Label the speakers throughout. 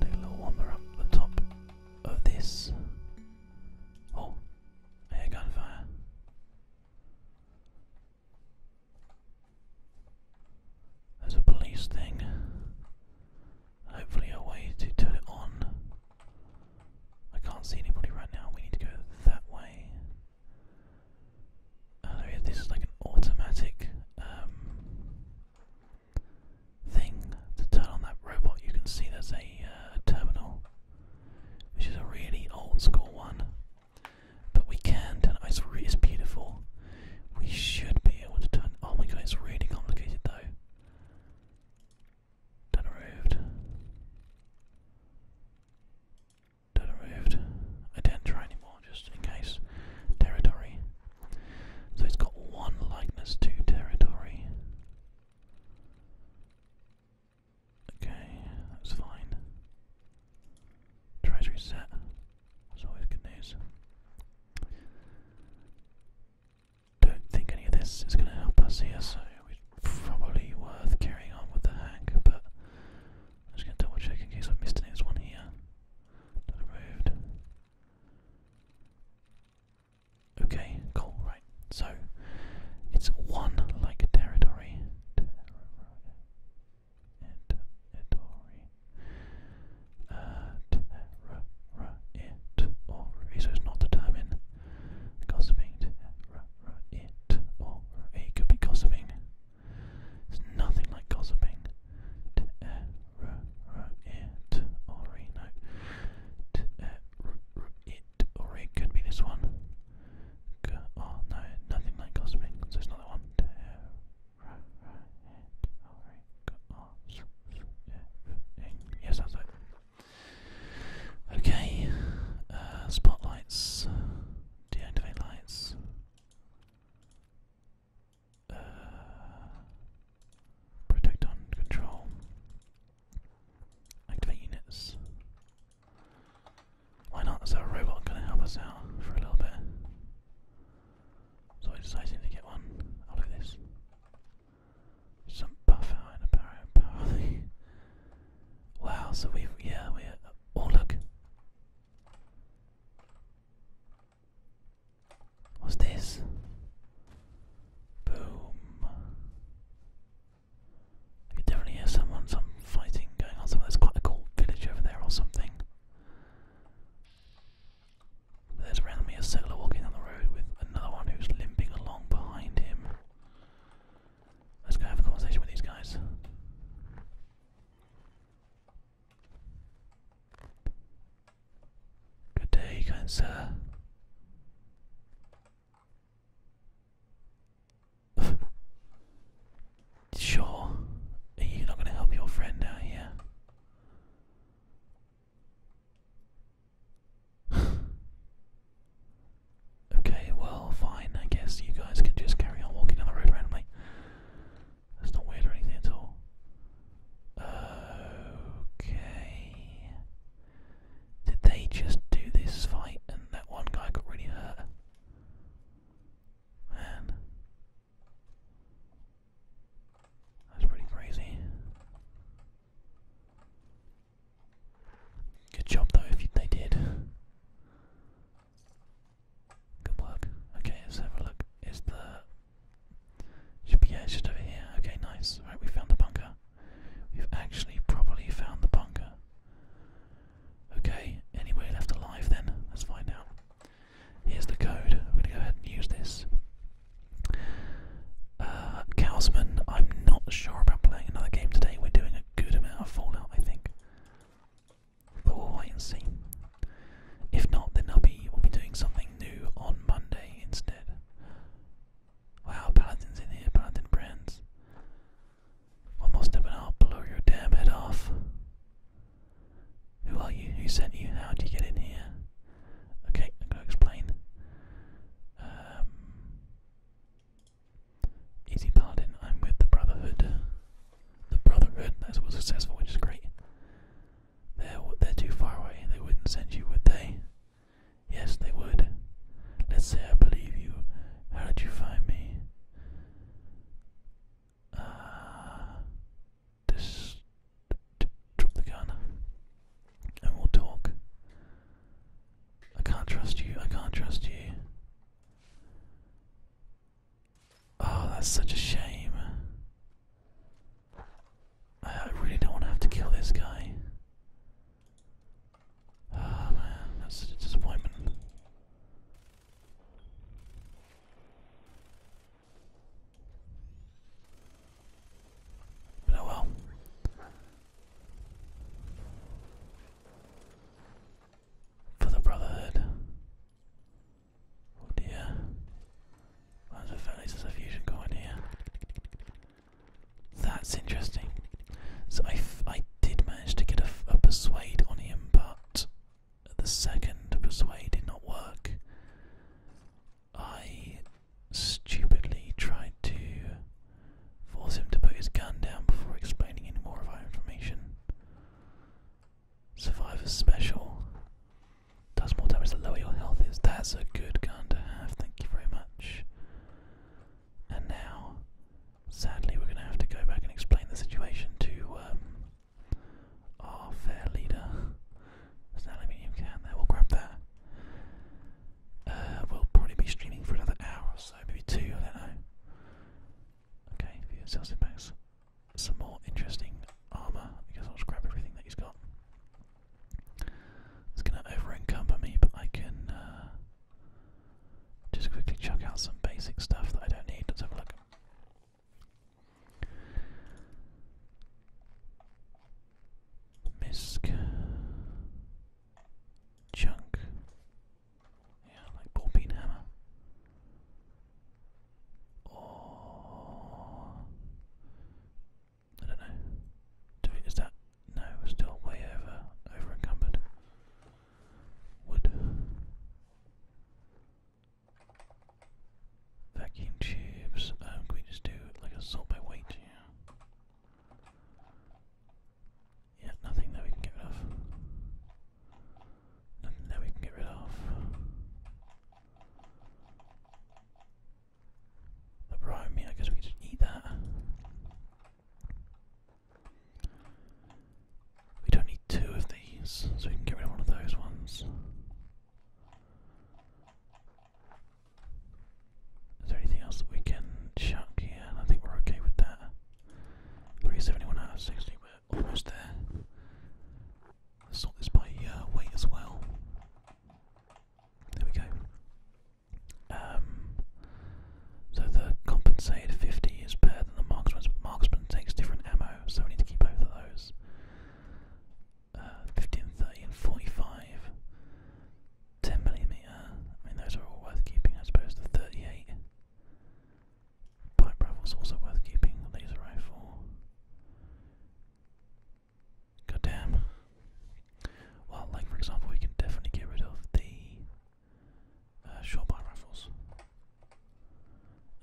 Speaker 1: Take a little wander up the top of this. Oh, I hear gunfire. There's a police thing. Hopefully a way to turn it on. I can't see anybody right now. We need to go that way. Oh, this is like an automatic um, thing to turn on that robot. You can see there's a uh, terminal, which is a really old school one. But we can turn it. It's, really, beautiful. We should be able to turn. Oh my god, it's really complicated though. Done removed. Done removed. I do not try anymore just in case. Territory. So it's got one likeness to territory. Okay, that's fine. Treasury set. That's always good news don't think any of this is going to help us here, so it's probably worth carrying on with the hack, but I'm just going to double check in case I've missed any. There's one here that Okay, cool, right. So, it's one like Territory uh, it or re, so it's not determined. Gossiping, it or it could be gossiping. It's nothing like gossiping. It or re, no. It or it could be this one. Oh no, nothing like gossiping. So it's not that one. It or oh. Yeah, sounds like. Okay, uh, spotlights, deactivate lights. Uh, control. Activate units. Why not? Is there a robot going to help us out for a little bit? So I decided to get one. I'll this. Some buff and a Wow, so we yeah, we oh look. What's this? Boom. I could definitely hear someone, some fighting going on. Someone that's quite a cool village over there or something. There's around me a settler walking down the road with another one who's limping along behind him. Let's go have a conversation with these guys. Good day, kind sir. sure, you not going to help your friend out here. okay, well, fine. I guess you guys can just carry on walking down the road randomly. That's not weird or anything at all. Okay. Did they just do this fight and that one guy got really hurt? Man. That's pretty crazy. Good job though if they did. Good work. Okay, let's have a look. Is the should be yeah, over here. Okay, nice. Right, we found the bunker. We've actually probably found the bunker. Okay, anyway left alive then. Let's find out. Here's the code. We're gonna go ahead and use this. Uh, I'm not sure about playing another game today. We're doing a good amount of Fallout, I think. But we'll wait and see. If not, then Nubby will be doing something new on Monday instead. Wow, Paladin's in here, Paladin Brands. One more step and I'll blow your damn head off. Who are you? Who sent you? How did you get in here? Okay, I'm going to explain. Um, easy pardon, I'm with the Brotherhood. The Brotherhood, that's was successful, which is great. They're, they're too far away, they wouldn't send you, would they? Yes, they would. Let's say I believe you. How did you find me? Uh, this drop the gun, and we'll talk. I can't trust you. I can't trust you. Oh, that's such a shame. I really don't have to kill this guy. Oh man, that's a disappointment oh well. For the Brotherhood. Oh dear. Well, a, there's a fusion going here. That's interesting. So I, I did manage to get a, a persuade on him, but the second persuade did not work. I stupidly tried to force him to put his gun down before explaining any more of our information. Survivor's Special does more damage the lower your health is. That's a good gun to have, thank you very much. And now, sadly, we're going to have to go back and explain the situation to um, our fair leader. There's an aluminium can there, we'll grab that. Uh, we'll probably be streaming for another hour or so, maybe two, I don't know. Okay, view yourself Some more interesting armour. because I'll just grab everything that he's got. It's going to over encumber me, but I can uh, just quickly chuck out some basic stuff that I don't need. Let's have a look. Misk. Chunk. Yeah, like ball peen hammer. Or I don't know. Do it is that no, we're still way over over encumbered. Wood Vacuum tubes. Um, we just do like a sort by weight? Yeah. Yeah, nothing that we can get rid of. Nothing that we can get rid of. The brome, I guess we can just eat that. We don't need two of these, so we can get rid of one of those ones. Is there anything else that we can chuck here? I think we're okay with that. 371 out of 60, we're almost there. sort this by uh, weight as well. There we go. Um, so the compensated 50 is better than the marksman. Marksman takes different ammo, so we need to keep both of those uh, 15, 30, and 45. 10 millimeter. I mean, those are all worth keeping, I suppose. The 38 pipe rifle's also worth keeping. The laser rifle. God damn. Well, like for example, we can definitely get rid of the uh, short pipe rifles.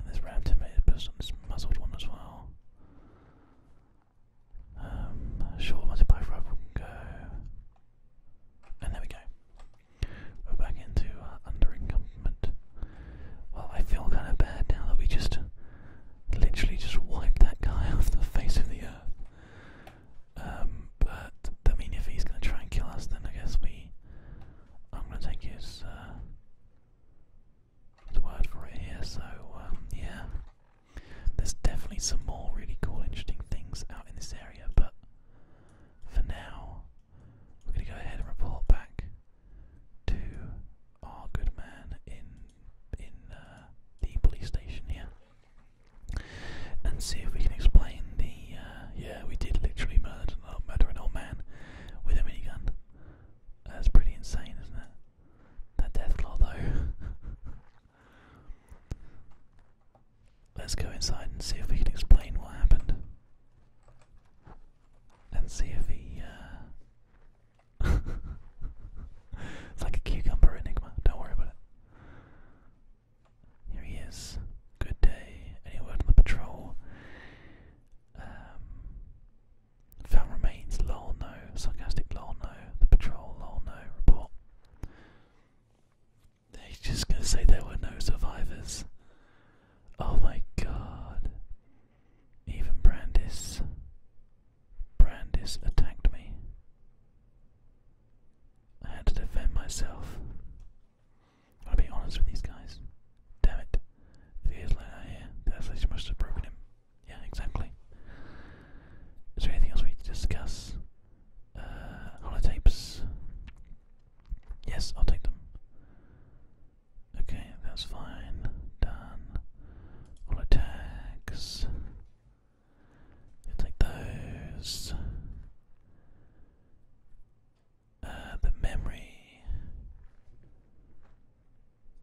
Speaker 1: And this ram template puts on this muzzled one as well. Um, short multiplier go. And there we go. We're back into uh, Well, I feel kind of bad now that we just literally just wiped that guy off the face of the earth. Um, but, I mean, if he's going to try and kill us, then I guess we. I'm going to take uh, his, word for it so, um, yeah. There's definitely some more really cool, interesting things out in this area, but for now, we're going to go ahead and report back to our good man in in uh, the police station here, and see if we can explain the uh, yeah we did literally murder an murder an old man with a mini gun. That's pretty insane, isn't it? That death claw though. Let's go inside and see if we can explain what happened. And see if he, uh, it's like a cucumber enigma, don't worry about it. Here he is. Good day. Any word on the patrol? Um, found remains, lol no. Sarcastic, lol no. The patrol, lol no. Report. They're just gonna say there were no survivors. Oh my god. Even Brandis. Brandis attacked me. I had to defend myself. I'll be honest with these guys. Damn it. Three years later, yeah, uh, the isolation must have broken him. Yeah, exactly. Is there anything else we need to discuss? Uh, holotapes. Yes, I'll take them. Okay, that's fine. Done. Holotags. I'll take those. Uh, the memory.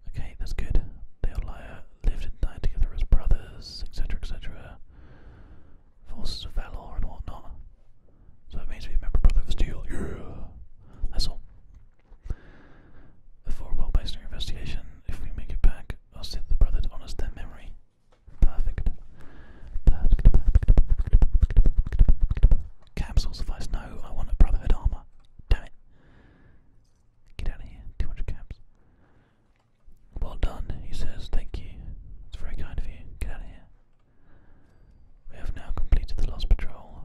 Speaker 1: Okay, that's good. They'll lie lived and died together as brothers, etc., etc., forces of valor and whatnot. So it means we remember Brother Steel. That's all. Before a well-based investigation, if we make it back, I'll see that the brother honors their memory. Perfect. Perfect. Capsules of No, I want a Brotherhood armor. Damn it. Get out of here. 200 caps. Well done, he says, thank you. It's very kind of you. Get out of here. We have now completed the Lost Patrol.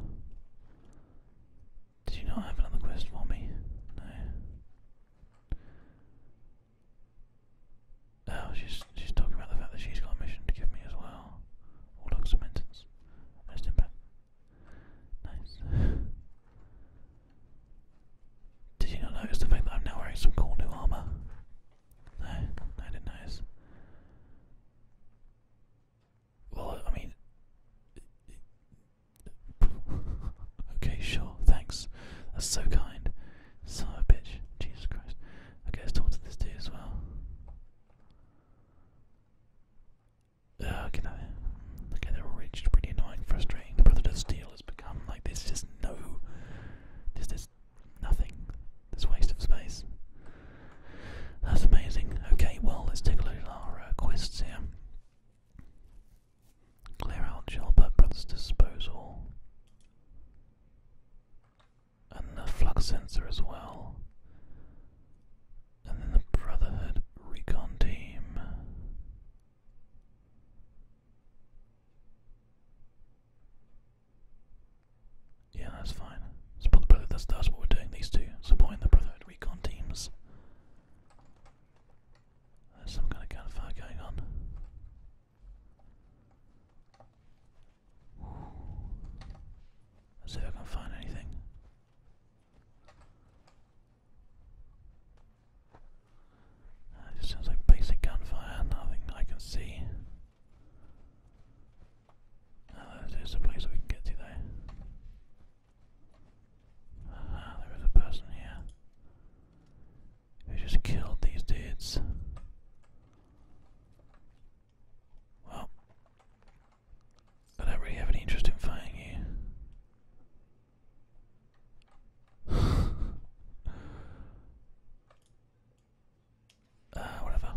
Speaker 1: Did you not have another quest for me? No. Oh, she's she's talking about the fact that she's got a mission to give me as well. All log cementance. Nice impact. Nice. Did you not notice the fact that I'm now wearing some cool new armor? No, I didn't notice. Well, I mean. okay, sure, thanks. That's so kind. Son of a bitch. Jesus Christ. Okay, let's talk to this dude as well. Uh, okay, no. okay, they're reached. Pretty annoying, frustrating. The brother does steal Hill become. Like there's just no, there's just nothing. This waste of space. That's amazing. Okay, well let's take a look at our uh, quests here. Clear out Gilbert Brothers Disposal. And the flux sensor as well. And then the Brotherhood Recon Team. Yeah, that's fine. Support the Brotherhood, that's, doing, these two. Supporting the Brotherhood recon teams. There's some kind of gunfire going on. Let's see if I can find anything it just sounds like basic gunfire, nothing I can see. Uh, there's a place we can get to though. there is a person here. Who just killed these dudes. Well, I really have any interest in fighting you. uh, whatever.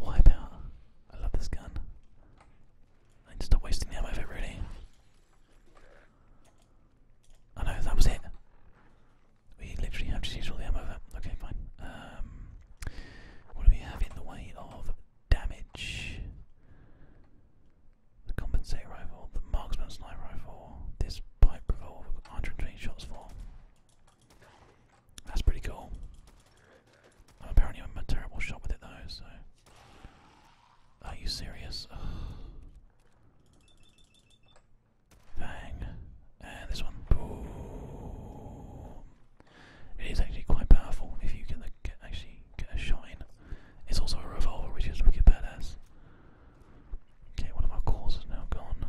Speaker 1: Wipe out. I love this gun. I need to stop wasting the ammo of it, really. I know, that was it. We literally have to use all the ammo of it. Okay, fine. Um, what do we have in the way of damage? the compensate rifle, the marksman sniper rifle, this pipe revolver, 120 shots for. That's pretty cool. I'm apparently i a terrible shot with it though, so. Are you serious? Bang. And this one. Boom. It is actually quite powerful if you can actually get a shine. It's also a revolver, which is wicked badass. Okay, one of our calls is now gone.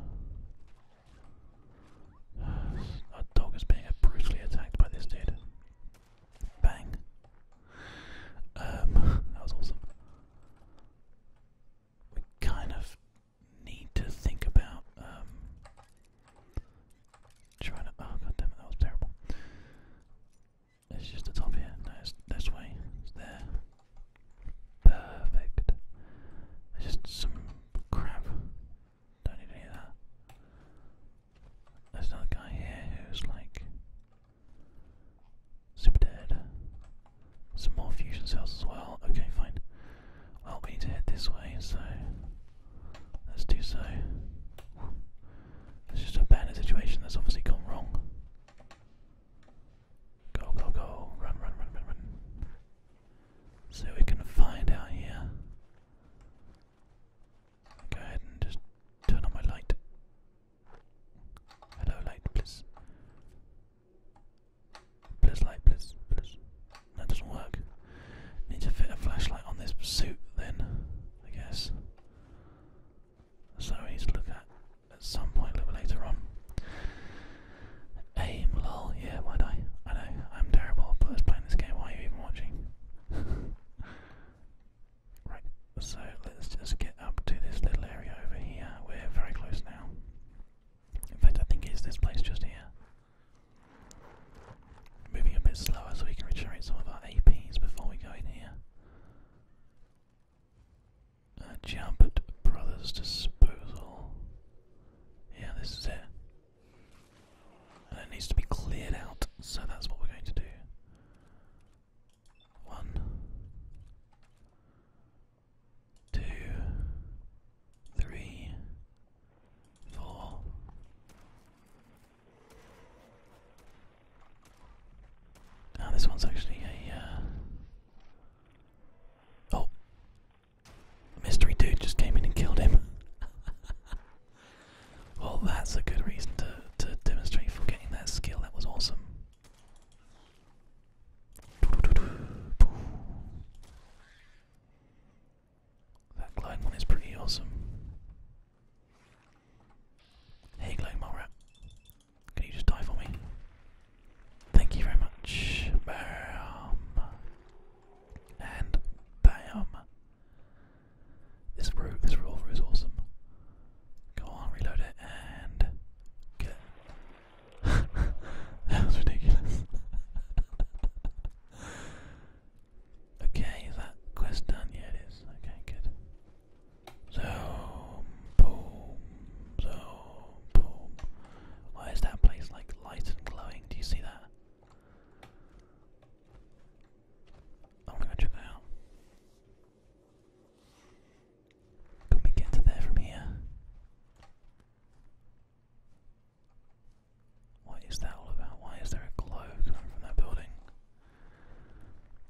Speaker 1: our dog is being brutally attacked by this dude. Bang. Um, that was awesome. We kind of need to think about um, trying to. Oh god that was terrible. It's just the top here. No, it's this way. It's there. Perfect. It's just some crap. Don't need any of that. There's another guy here who's like super dead. Some more fusion cells as well. Okay, fine. Well, we need to head this way, so let's do so. It's just a bad situation that's obviously gone wrong. Go, go, go. Run, run, run, run, run. So we can find out here. Go ahead and just turn on my light. Hello, light, please. Please, light, please, please. That doesn't work. Need to fit a flashlight on this suit then, I guess. So we need to look at at some point a little later on. Aim, lol, yeah, why'd I? know, I'm terrible, but let's play this game, why are even watching? right, so let's just get up to this little area over here. We're very close now. In fact, I think it's this place just here. Moving a bit slower so we can regenerate some of our APs before we go in here jump at Brothers' disposal. Yeah, this is it. And it needs to be cleared out, so that's what we're going to do. One, two, three, four, Ah, this one's actually a. Uh, oh, mystery dude just came in and killed him. well, that's a good reason to to demonstrate for getting that skill. That was awesome. That glide one is pretty awesome. Hey, you go, mole rat. Can you just die for me? Thank you very much. Bam. And bam. This root, this revolver is awesome. Go on, reload it and get that was ridiculous. okay, that quest done? Yeah, it is. Okay, good. Zoom, boom, zoom, boom. Why is that place like light and glowing? Do you see that? I wanna go check that out. Can we get to there from here? What is that all about? Why is there a glow coming from that building?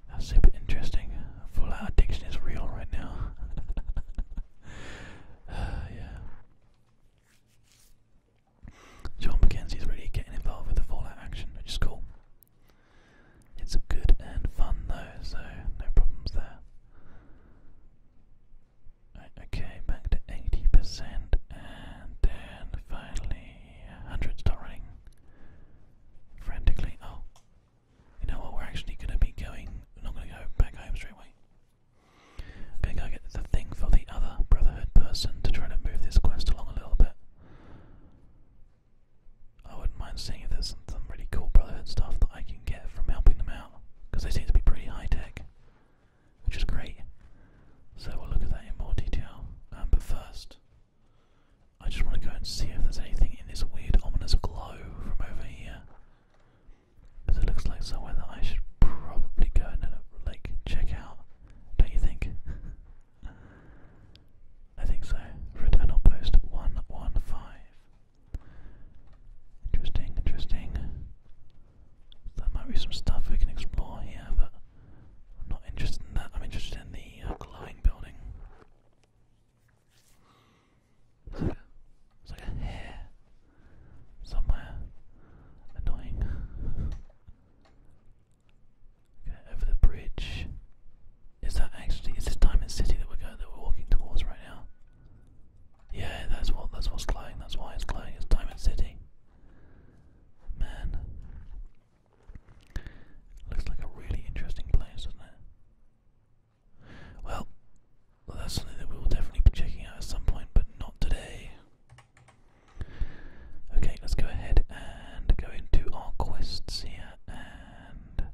Speaker 1: That's super interesting. Fallout addiction is real right now. uh, yeah. John McKenzie's really getting involved with the Fallout action, which is cool. It's good and fun though, so no problems there. okay, back to 80%, and then finally 100 start running frantically. Oh, you know what? We're actually going to be going. We're not going to go back home straight away. I'm going to go get the thing for the other Brotherhood person to try to move this quest along a little bit. I wouldn't mind seeing if there's some, really cool Brotherhood stuff that I can get from helping them out, because they seem to be pretty high tech, which is great. So we'll look at that in more detail. Um, but first, I just want to go and see if there's anything in this weird ominous glow from over here. Because it looks like somewhere that I should probably go and uh, like check out. Don't you think? I think so. Returnal post one one five. Interesting, interesting. There might be some stuff we can explore here, but I'm not interested in that. I'm interested in the uh, glowing building. It's like, a, hair somewhere. Annoying. over the bridge. Is that actually is this Diamond City that we're going that we're walking towards right now? Yeah, that's what that's what's glowing. That's why it's glowing. It's Diamond City. Man, Looks like a really interesting place, doesn't it? Well, that's something that we will definitely be checking out at some point, but not today. Okay, let's go ahead and go into our quests here and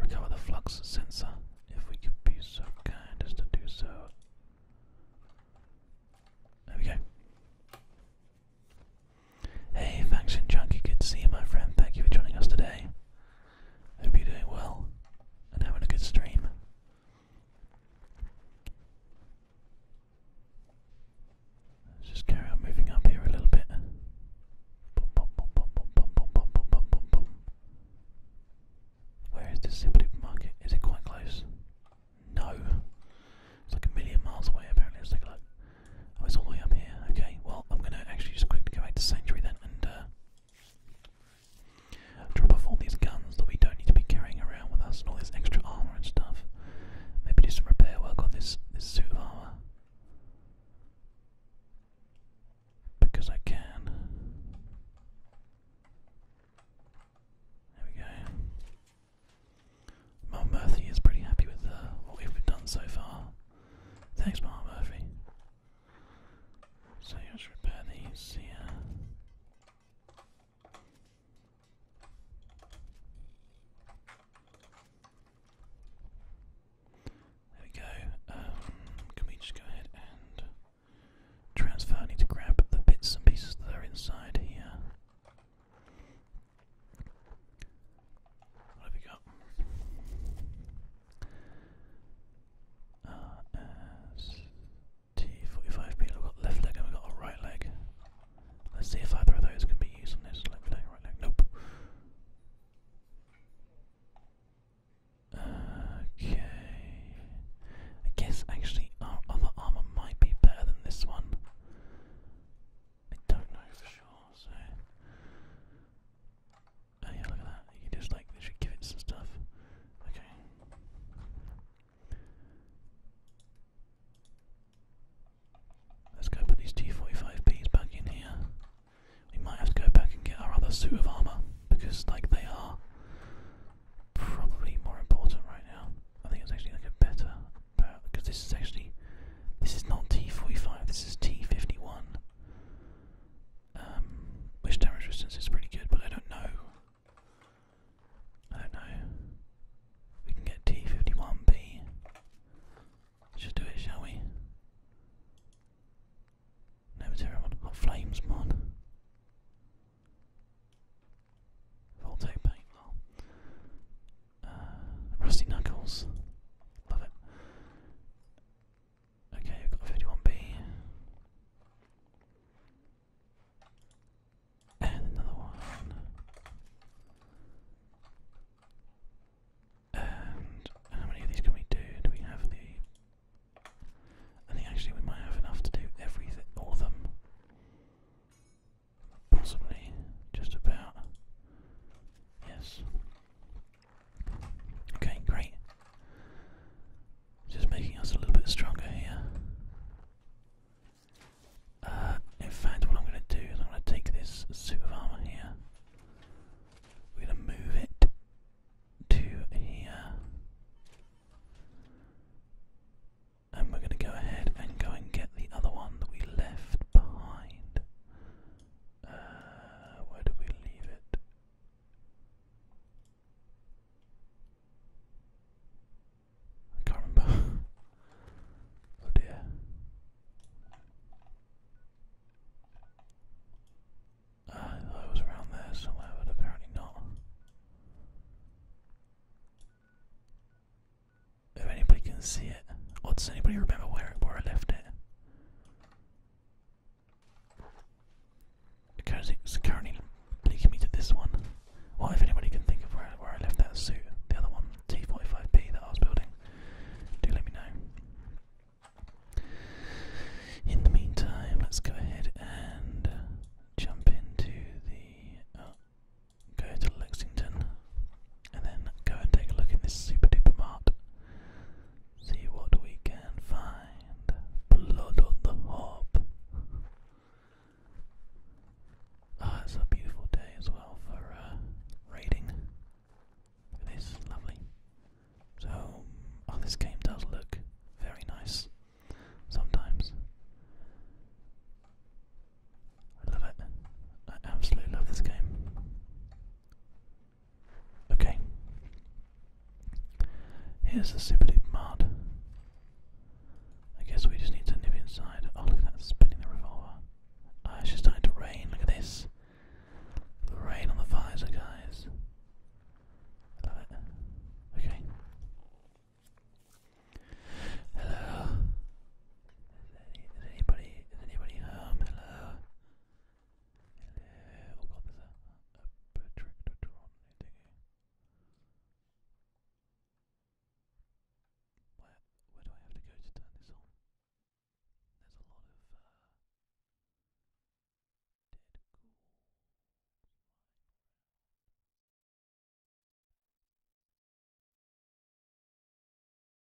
Speaker 1: recover the flux sensor, if we could be so kind as to do so. There we go. Hey, Faction Junkie, good to see you, my friend. Thank you for joining us today. Hope you're doing well and having a good stream. Let's just carry on moving up here a little bit. Where is this supermarket? Is it quite close? No. It's like a million miles away apparently. Let's take a look. Oh, it's all the way up here. Okay, well, I'm gonna actually just quickly go back to Sanctuary then and uh, drop off all these guns that we don't need to be carrying around with us and all this extra armor and stuff. Maybe do some repair work on this, this suit of armor. Because I can. There we go. Mom Murphy is pretty happy with uh, what we've done so far. Thanks, Mom Murphy. So let's repair these There we go. Um, can we just go ahead and transfer? I need to grab the bits and pieces that are inside here. What we got? T45 people, got left leg and we got a right leg. Let's see if either of those can be used on this left leg, right leg. Nope. Okay. I guess actually our other armor might be better than this one. I don't know for sure, so. Oh yeah, look at that. You just like literally give it stuff. Okay. Let's go put these T45Bs back in here. We might have to go back and get our other suit of armour, because like they are probably more important right now. I think it's actually like a better because this is actually this is not T45, this is T51. Um, which damage resistance is pretty good, but I don't know. I don't know. We can get T51B. Let's just do it, shall we? No material mod. Hot flames mod. Voltaic paint. Uh, rusty Knuckles. Love it. Okay, we've got 51B. And another one. And how many of these can we do? Do we have the. I think actually we might have enough to do everything, all of them. Possibly, just about. Yes. Okay, great. Just making us a little bit stronger here. Uh, in fact, what I'm going to do is I'm going to take this suit of armour here. We're going to move it to here. And we're going to go ahead and go and get the other one that we left behind. Uh, where do we leave it? I can't remember. oh dear. Uh, I thought it was around there somewhere, but apparently not. If anybody can see it. Or does anybody remember where where I left it? Because it's currently leaking me to this one. Well, if anybody can think of where where I left that suit, the other one, T45P that I was building, do let me know. In the meantime, let's go ahead and jump into the. Uh, go to Lexington and then go and take a look in this super duper mart. See what we can find. Blood on the hob. Ah, it's a beautiful day as well for uh, raiding. lovely. So, oh, this game does look very nice sometimes. I love it. I absolutely love this game. Okay. Here's the Sippity Mud. I guess we just need to nip inside. Oh, look at that, spinning the revolver. oh, it's just starting to rain. Look at this. The rain on the visor, guys. love it. Okay. Hello. Is anybody is anybody home? Hello. Hello. Oh, there's a Where do I have to go to turn this on? There's a lot of uh